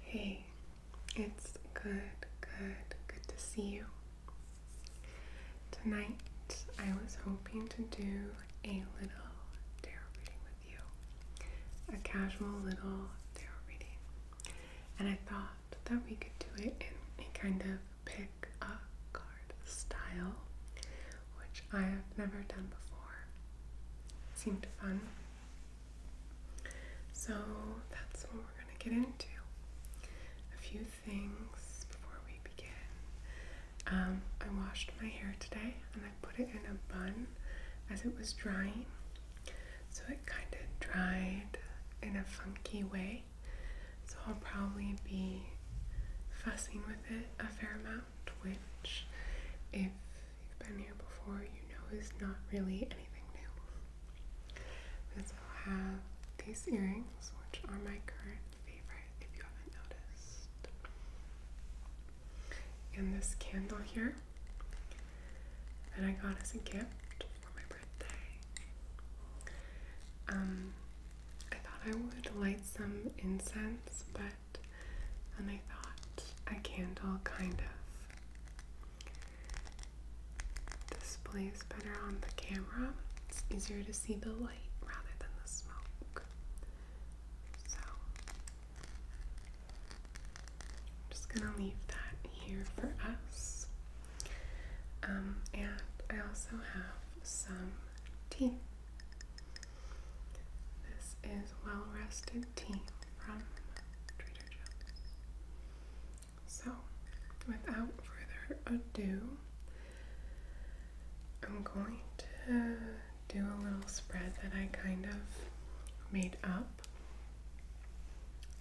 Hey, it's good, good, good to see you. Tonight I was hoping to do a little tarot reading with you, a casual little tarot reading, and I thought that we could do it in a kind of pick a card style, which I have never done before. seemed fun. So that's what we're going to get into. A few things before we begin. Um, I washed my hair today and I put it in a bun as it was drying. So it kind of dried in a funky way. So I'll probably be fussing with it a fair amount, which if you've been here before, you know is not really anything new. This will have these earrings, which are my current favorite if you haven't noticed. And this candle here that I got as a gift for my birthday. Um, I thought I would light some incense, but and I thought a candle kind of displays better on the camera. It's easier to see the light rather than the smoke. So I'm just gonna leave that here for us. Um, and I also have some tea. This is well rested tea from Trader Joe's. So, without further ado, I'm going to do a little spread that I kind of made up.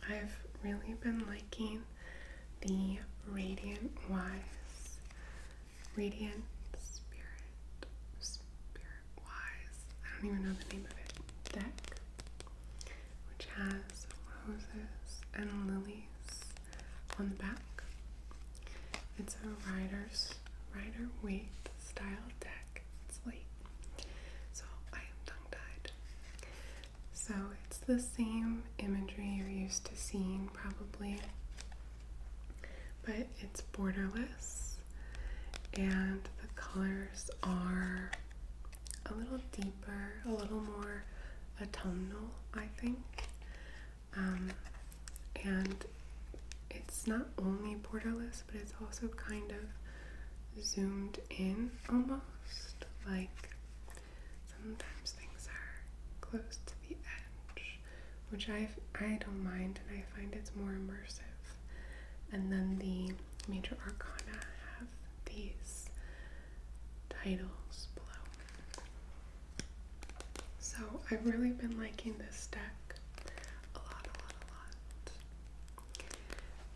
I've really been liking the Radiant Wise, Radiant Spirit Spirit Wise. I don't even know the name of it. Deck, which has roses and lilies on the back. It's a rider's rider weight style deck. It's late, so I am tongue tied. So it's the same imagery you're used to seeing, probably but it's borderless and the colors are a little deeper, a little more autumnal, I think. Um, and it's not only borderless, but it's also kind of zoomed in almost. Like sometimes things are close to the edge, which I I don't mind, and I find it's more immersive and then the major arcana have these titles below. So I've really been liking this deck a lot, a lot,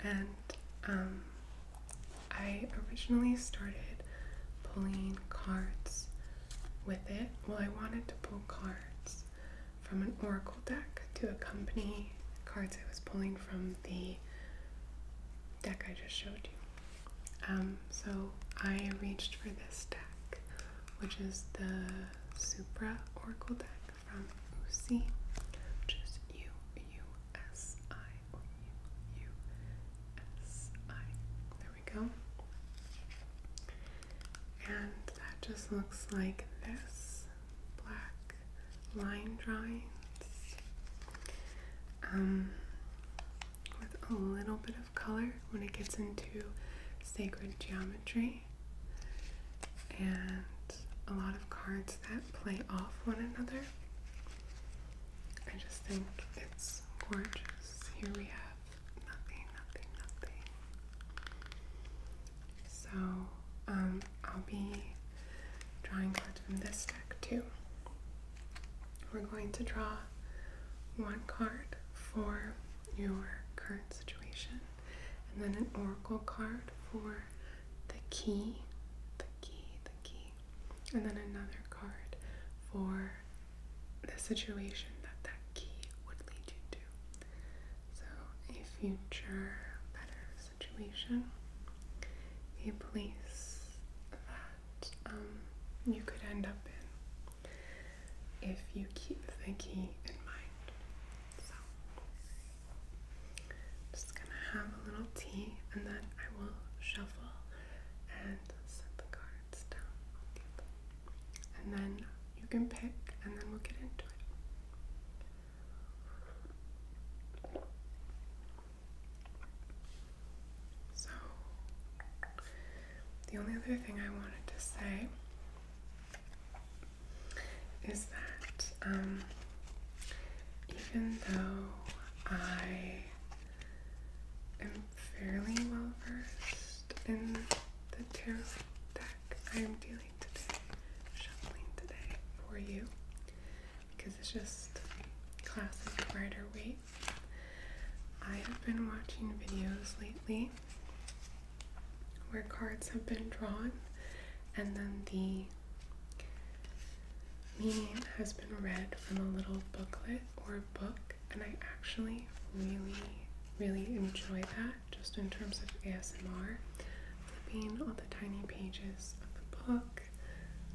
a lot. And um, I originally started pulling cards with it. Well, I wanted to pull cards from an oracle deck to accompany cards I was pulling from the deck I just showed you. Um, so I reached for this deck, which is the Supra Oracle deck from USI, which U U S I. There we go and that just looks like this black line drawings um, with a little bit of color when it gets into sacred geometry and a lot of cards that play off one another. I just think it's gorgeous. Here we have nothing, nothing, nothing. So, um, I'll be drawing cards from this deck too. We're going to draw one card for your current situation, and then an oracle card for the key, the key, the key, and then another card for the situation that that key would lead you to. So, a future better situation, a place that um, you could end up in if you keep the key in mind. So, just gonna have a little tea and then I will shuffle and set the cards down and then you can pick, and then we'll get into it. So, the only other thing I wanted to say is that um, even though I am fairly well versed in the tarot I'm dealing today, shuffling today for you because it's just classic Rider Waite. I have been watching videos lately where cards have been drawn and then the meaning has been read from a little booklet or book, and I actually really, really enjoy that just in terms of ASMR, flipping all the tiny pages of the book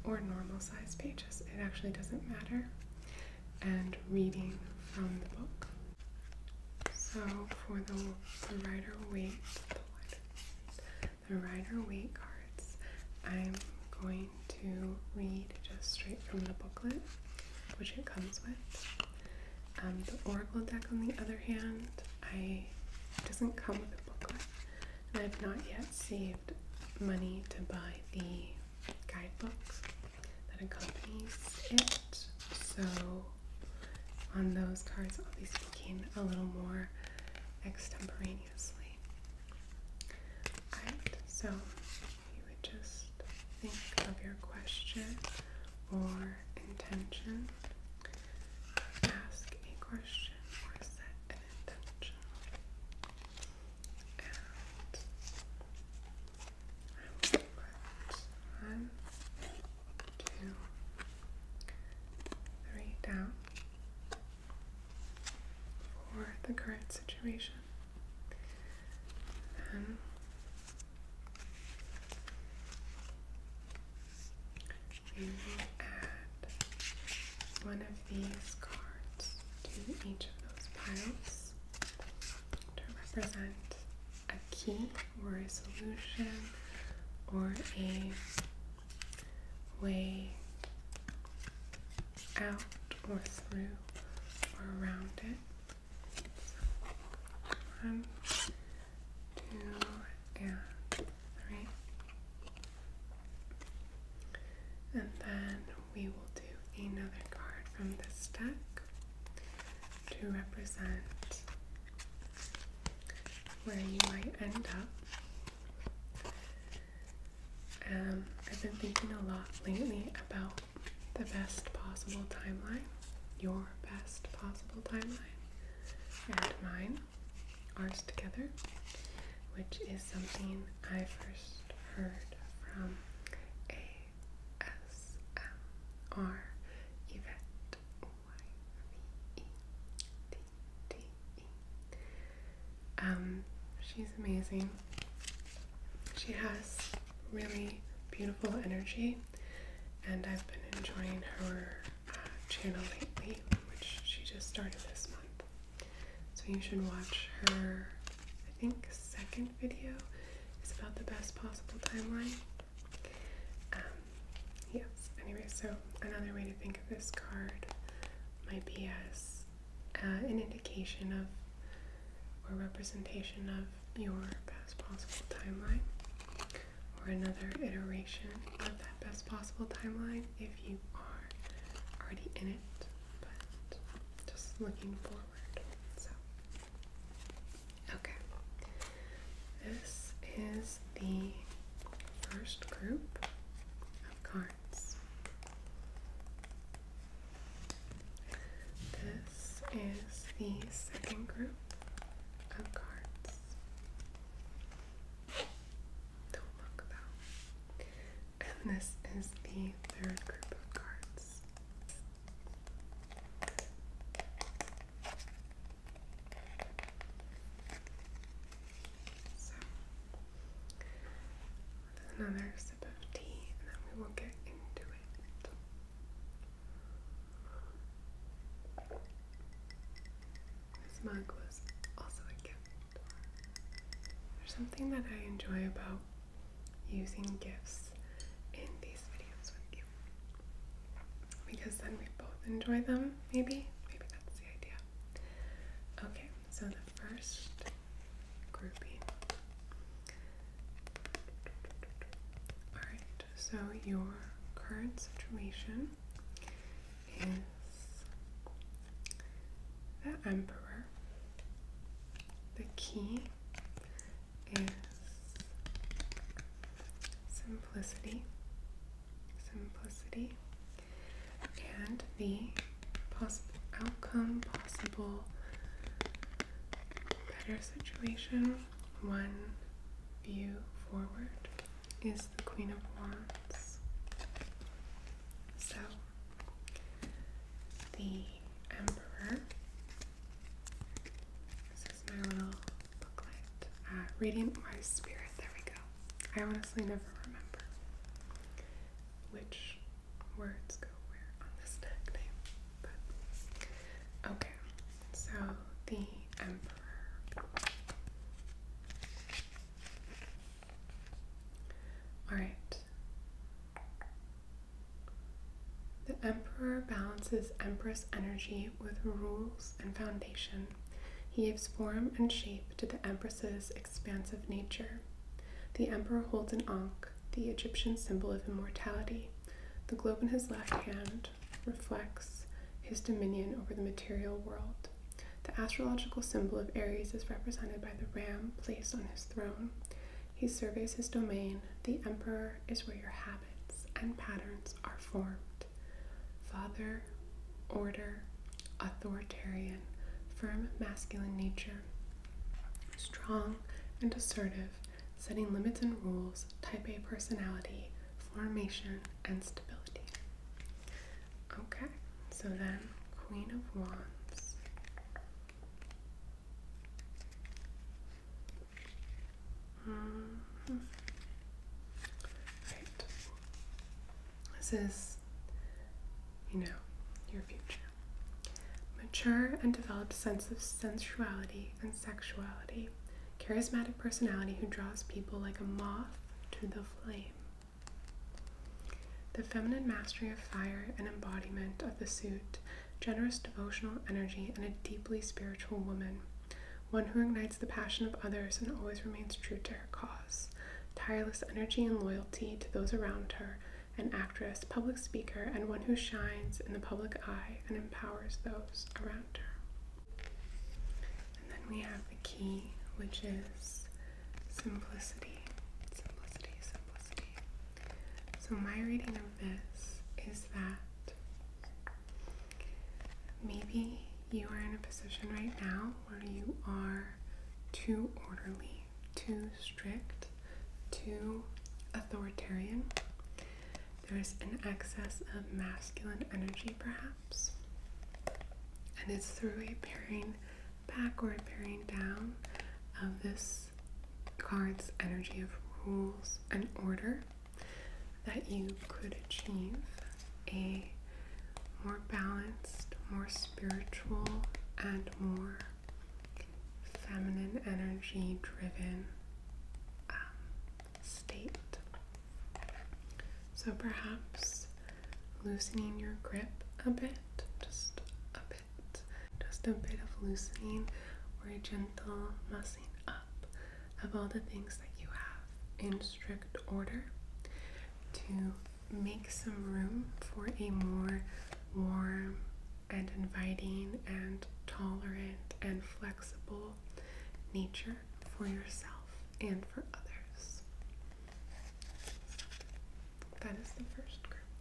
or normal sized pages, it actually doesn't matter, and reading from the book. So for the, writer Rider the, writer Rider cards, I'm going to read just straight from the booklet, which it comes with. Um, the Oracle deck, on the other hand, I doesn't come with a booklet, and I've not yet saved money to buy the guidebooks that accompanies it. So on those cards, I'll be speaking a little more extemporaneously. Alright, so you would just think of your question or intention. Ask a question or set an intention. And I will put one, two, three down for the current situation. Then we will add one of these cards to each of those piles to represent a key or a solution or a way out or through or around it. One, two, and three. And then we will do another card from this deck to represent where you might end up. Um, I've been thinking a lot lately about the best possible timeline, your best possible timeline, and mine, ours together, which is something I first heard from A S L R Y-V-E-T-T-E. Um, she's amazing. She has really beautiful energy, and I've been enjoying her uh, channel lately, which she just started this month. So you should watch her, I think, second video is about the best possible timeline. Um, yes, anyway, so another way to think of this card might be as uh, an indication of or representation of your best possible timeline or another iteration of that best possible timeline if you are already in it, but just looking forward. So, okay, this is the first group of cards. This is the second group of cards. Don't look though. And this is the third group of cards. So, another of tea and then we will get into it. This mug was also a gift. There's something that I enjoy about using gifts in these videos with you. Because then we both enjoy them, maybe? Maybe that's the idea. Okay, so the first Alright, so your current situation is the Emperor. The key is simplicity, simplicity, and the possible outcome, possible better situation, one view forward, is the Queen of Wands. So, the Emperor. This is my little booklet. Uh, Radiant Wise Spirit, there we go. I honestly never remember which words go where on this tag name, okay. So the Emperor. Alright. The Emperor balances Empress energy with rules and foundation. He gives form and shape to the Empress's expansive nature. The Emperor holds an Ankh, the Egyptian symbol of immortality. The globe in his left hand reflects his dominion over the material world. The astrological symbol of Aries is represented by the ram placed on his throne. He surveys his domain. The emperor is where your habits and patterns are formed. Father, order, authoritarian, firm masculine nature. Strong and assertive, setting limits and rules, type A personality, formation, and stability. Okay, so then Queen of Wands. Mm-hmm. Right. This is, you know, your future. Mature and developed sense of sensuality and sexuality. Charismatic personality who draws people like a moth to the flame. The feminine mastery of fire and embodiment of the suit. Generous devotional energy and a deeply spiritual woman. One who ignites the passion of others and always remains true to her cause. Tireless energy and loyalty to those around her an actress, public speaker, and one who shines in the public eye and empowers those around her. And then we have the key, which is simplicity. Simplicity, simplicity. So, my reading of this is that maybe you are in a position right now where you are too orderly too strict, too authoritarian. There's an excess of masculine energy, perhaps. And it's through a pairing backward, pairing down of this card's energy of rules and order that you could achieve a more balanced, more spiritual, and more feminine energy driven um, state. So perhaps loosening your grip a bit, just a bit, just a bit of loosening or a gentle messing up of all the things that you have in strict order to make some room for a more warm, and inviting and tolerant and flexible nature for yourself and for others. That is the first group.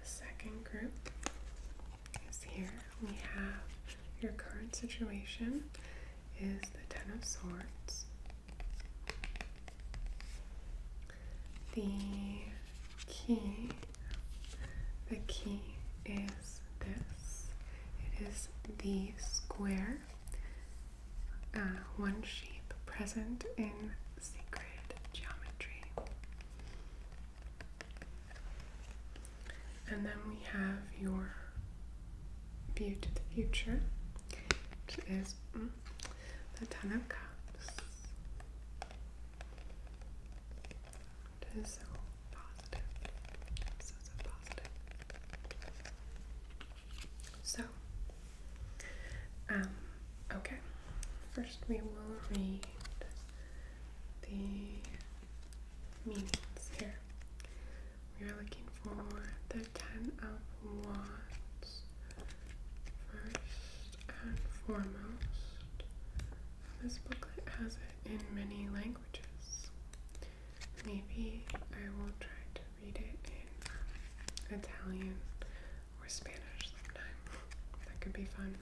The second group is here. We have your current situation is the Ten of Swords, the key, the key is this. It is the square, uh, one shape present in sacred geometry. And then we have your view to the future, which is mm, the Ten of Cups. so positive. So, so positive. So, um, okay. First, we will read the meanings here. We are looking for the Ten of Wands first and foremost. this booklet has it in many languages. Maybe I will try to read it in Italian or Spanish sometime. That could be fun.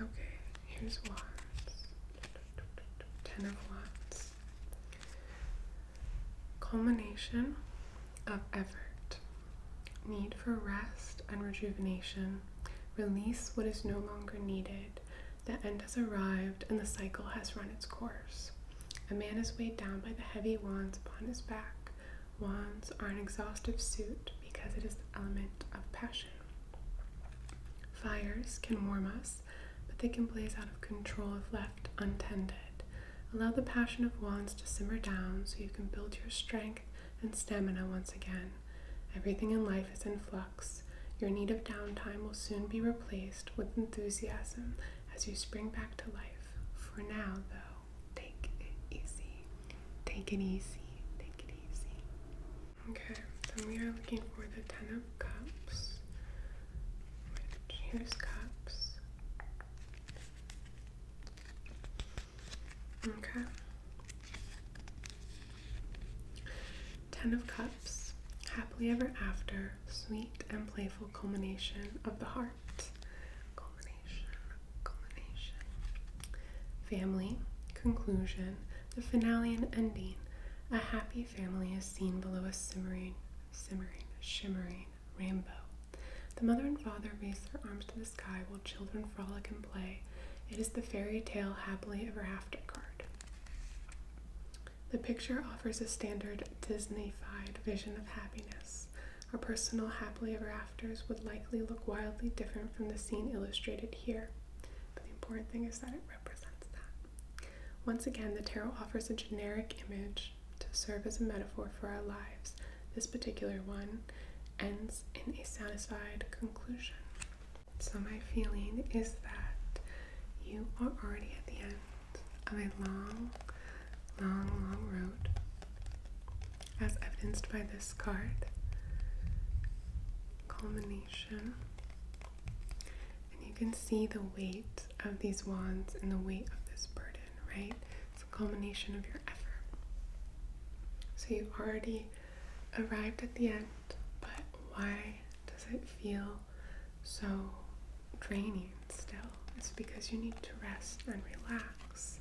Okay, here's Wands. Ten of Wands. Culmination of effort, need for rest and rejuvenation, release what is no longer needed, the end has arrived and the cycle has run its course. A man is weighed down by the heavy wands upon his back. Wands are an exhaustive suit because it is the element of passion. Fires can warm us but they can blaze out of control if left untended. Allow the passion of wands to simmer down so you can build your strength and stamina once again. Everything in life is in flux. Your need of downtime will soon be replaced with enthusiasm as you spring back to life. For now, though, take it easy. Take it easy. Take it easy. Okay, then we are looking for the Ten cups. Right, cups. Okay. Ten of Cups, happily ever after, sweet and playful culmination of the heart. Culmination, culmination. Family, conclusion, the finale and ending. A happy family is seen below a simmering simmering, shimmering rainbow. The mother and father raise their arms to the sky while children frolic and play. It is the fairy tale happily ever after card. The picture offers a standard Disneyfied vision of happiness. Our personal happily ever afters would likely look wildly different from the scene illustrated here. But the important thing is that it represents that. Once again, the tarot offers a generic image to serve as a metaphor for our lives. This particular one ends in a satisfied conclusion. So, my feeling is that you are already at the end of a long, long, long road, as evidenced by this card culmination. And you can see the weight of these wands and the weight of this burden, right? It's a culmination of your effort. So you have already arrived at the end, but why does it feel so draining still? It's because you need to rest and relax,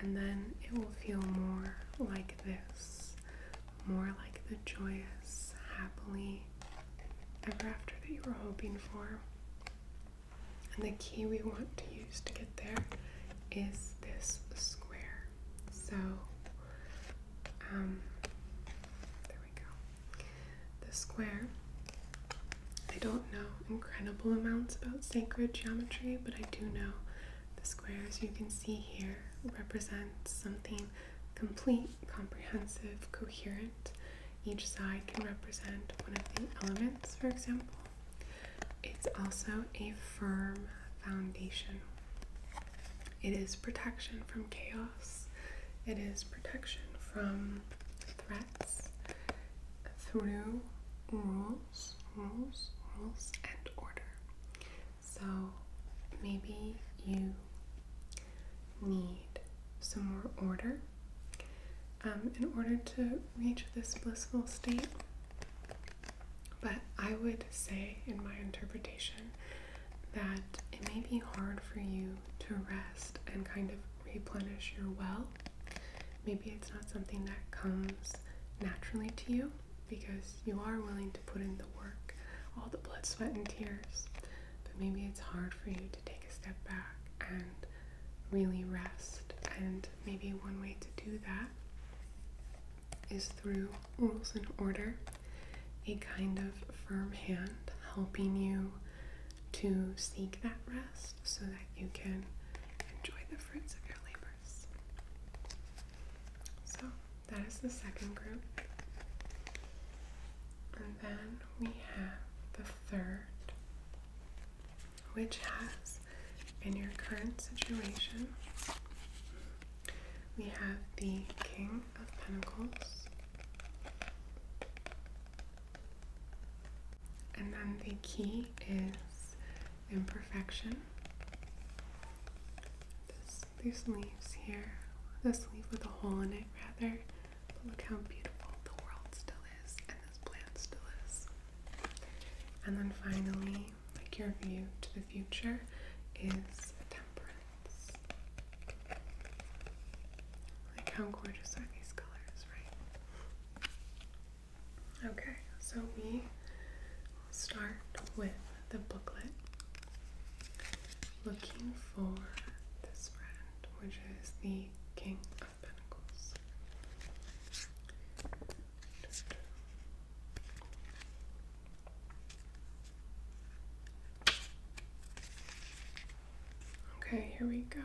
and then it will feel more like this, more like the joyous, happily ever after that you were hoping for. And the key we want to use to get there is this square. So, um, there we go. The square. I don't know incredible amounts about sacred geometry, but I do know the squares you can see here represent something complete, comprehensive, coherent. Each side can represent one of the elements, for example. It's also a firm foundation. It is protection from chaos. It is protection from threats through rules, rules, rules, and order. So maybe you need some more order um, in order to reach this blissful state. But I would say, in my interpretation, that it may be hard for you to rest and kind of replenish your well. Maybe it's not something that comes naturally to you because you are willing to put in the work, all the blood, sweat, and tears but maybe it's hard for you to take a step back and really rest. And maybe one way to do that is through rules and order, a kind of firm hand helping you to seek that rest so that you can enjoy the fruits of your labors. So, that is the second group. And then we have the third, which has, in your current situation, we have the King of Pentacles, and then the key is imperfection. There's leaves here. This leaf with a hole in it, rather. But look how beautiful the world still is, and this plant still is. And then finally, like your view to the future is temperance. Like, how gorgeous are these colors, right? Okay, so we will start with the booklet looking for this friend, which is the King of Pentacles. Okay, here we go.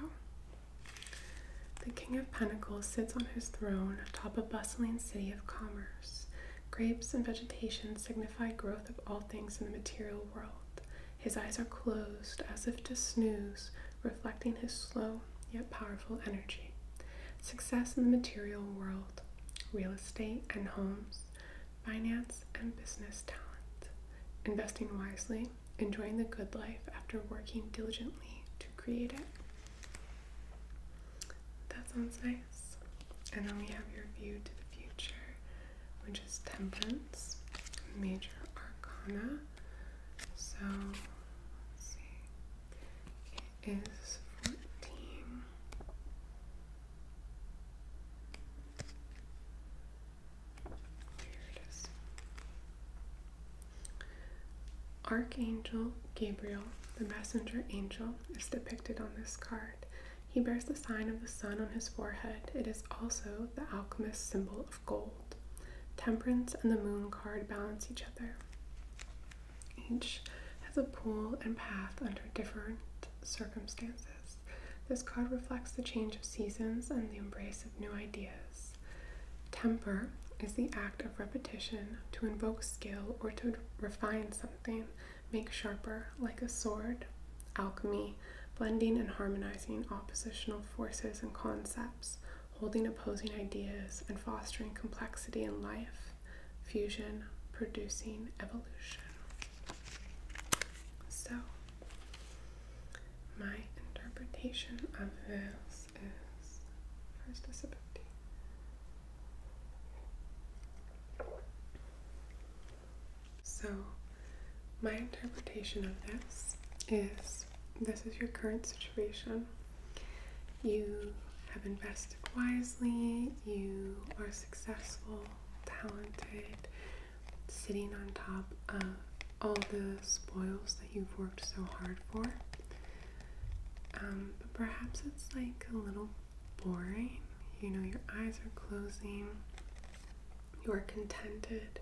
The King of Pentacles sits on his throne atop a bustling city of commerce. Grapes and vegetation signify growth of all things in the material world. His eyes are closed, as if to snooze, reflecting his slow yet powerful energy. Success in the material world, real estate and homes, finance and business talent. Investing wisely, enjoying the good life after working diligently to create it. That sounds nice. And then we have your view to the future which is Temperance, Major Arcana. So, let's see, it is 14. Here it is. Archangel Gabriel, the messenger angel, is depicted on this card he bears the sign of the sun on his forehead. It is also the alchemist's symbol of gold. Temperance and the moon card balance each other. Each has a pool and path under different circumstances. This card reflects the change of seasons and the embrace of new ideas. Temper is the act of repetition to invoke skill or to refine something make sharper like a sword, alchemy, blending and harmonizing oppositional forces and concepts, holding opposing ideas and fostering complexity in life, fusion, producing evolution. So, my interpretation of this is first disability. So, my interpretation of this is this is your current situation. You have invested wisely, you are successful, talented, sitting on top of all the spoils that you've worked so hard for. Um, but perhaps it's like a little boring. You know, your eyes are closing, you're contented,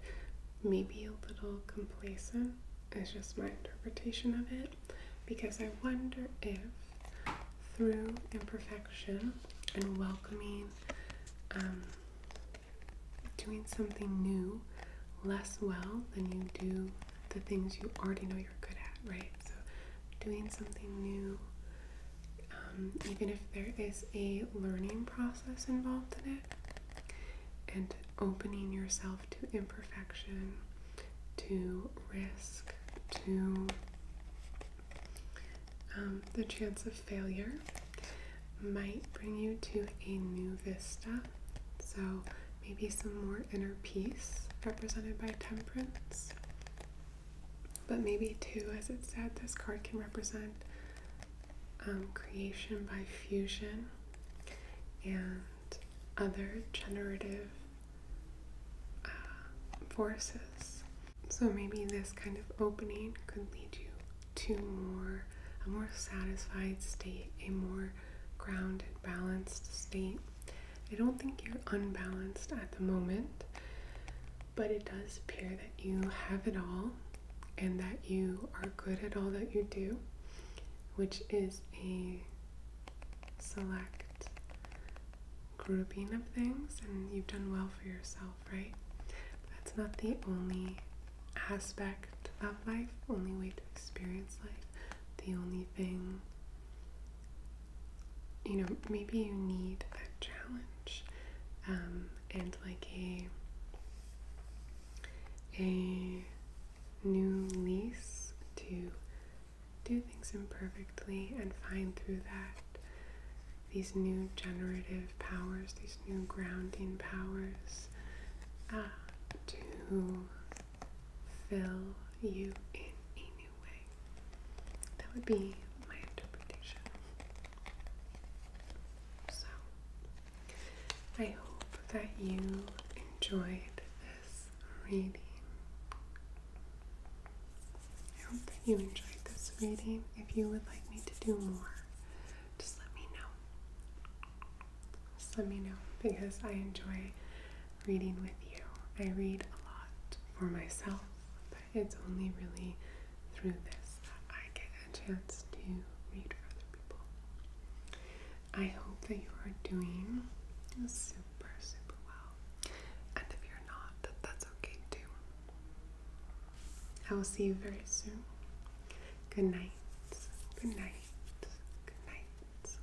maybe a little complacent, It's just my interpretation of it. Because I wonder if through imperfection and welcoming, um, doing something new less well than you do the things you already know you're good at, right? So doing something new, um, even if there is a learning process involved in it, and opening yourself to imperfection, to risk, to um, the chance of failure might bring you to a new vista. So maybe some more inner peace represented by temperance. But maybe, too, as it said, this card can represent um, creation by fusion and other generative uh, forces. So maybe this kind of opening could lead you to more a more satisfied state, a more grounded, balanced state I don't think you're unbalanced at the moment, but it does appear that you have it all and that you are good at all that you do, which is a select grouping of things, and you've done well for yourself, right? that's not the only aspect of life, only way to experience life, the only thing you know, maybe you need a challenge um, and like a a new lease to do things imperfectly and find through that these new generative powers, these new grounding powers uh, to fill you in that would be my interpretation. So, I hope that you enjoyed this reading. I hope that you enjoyed this reading. If you would like me to do more, just let me know. Just let me know because I enjoy reading with you. I read a lot for myself, but it's only really through this that I get a chance to read for other people. I hope that you are doing super, super well. And if you're not, that that's okay too. I will see you very soon. Good night. Good night. Good night.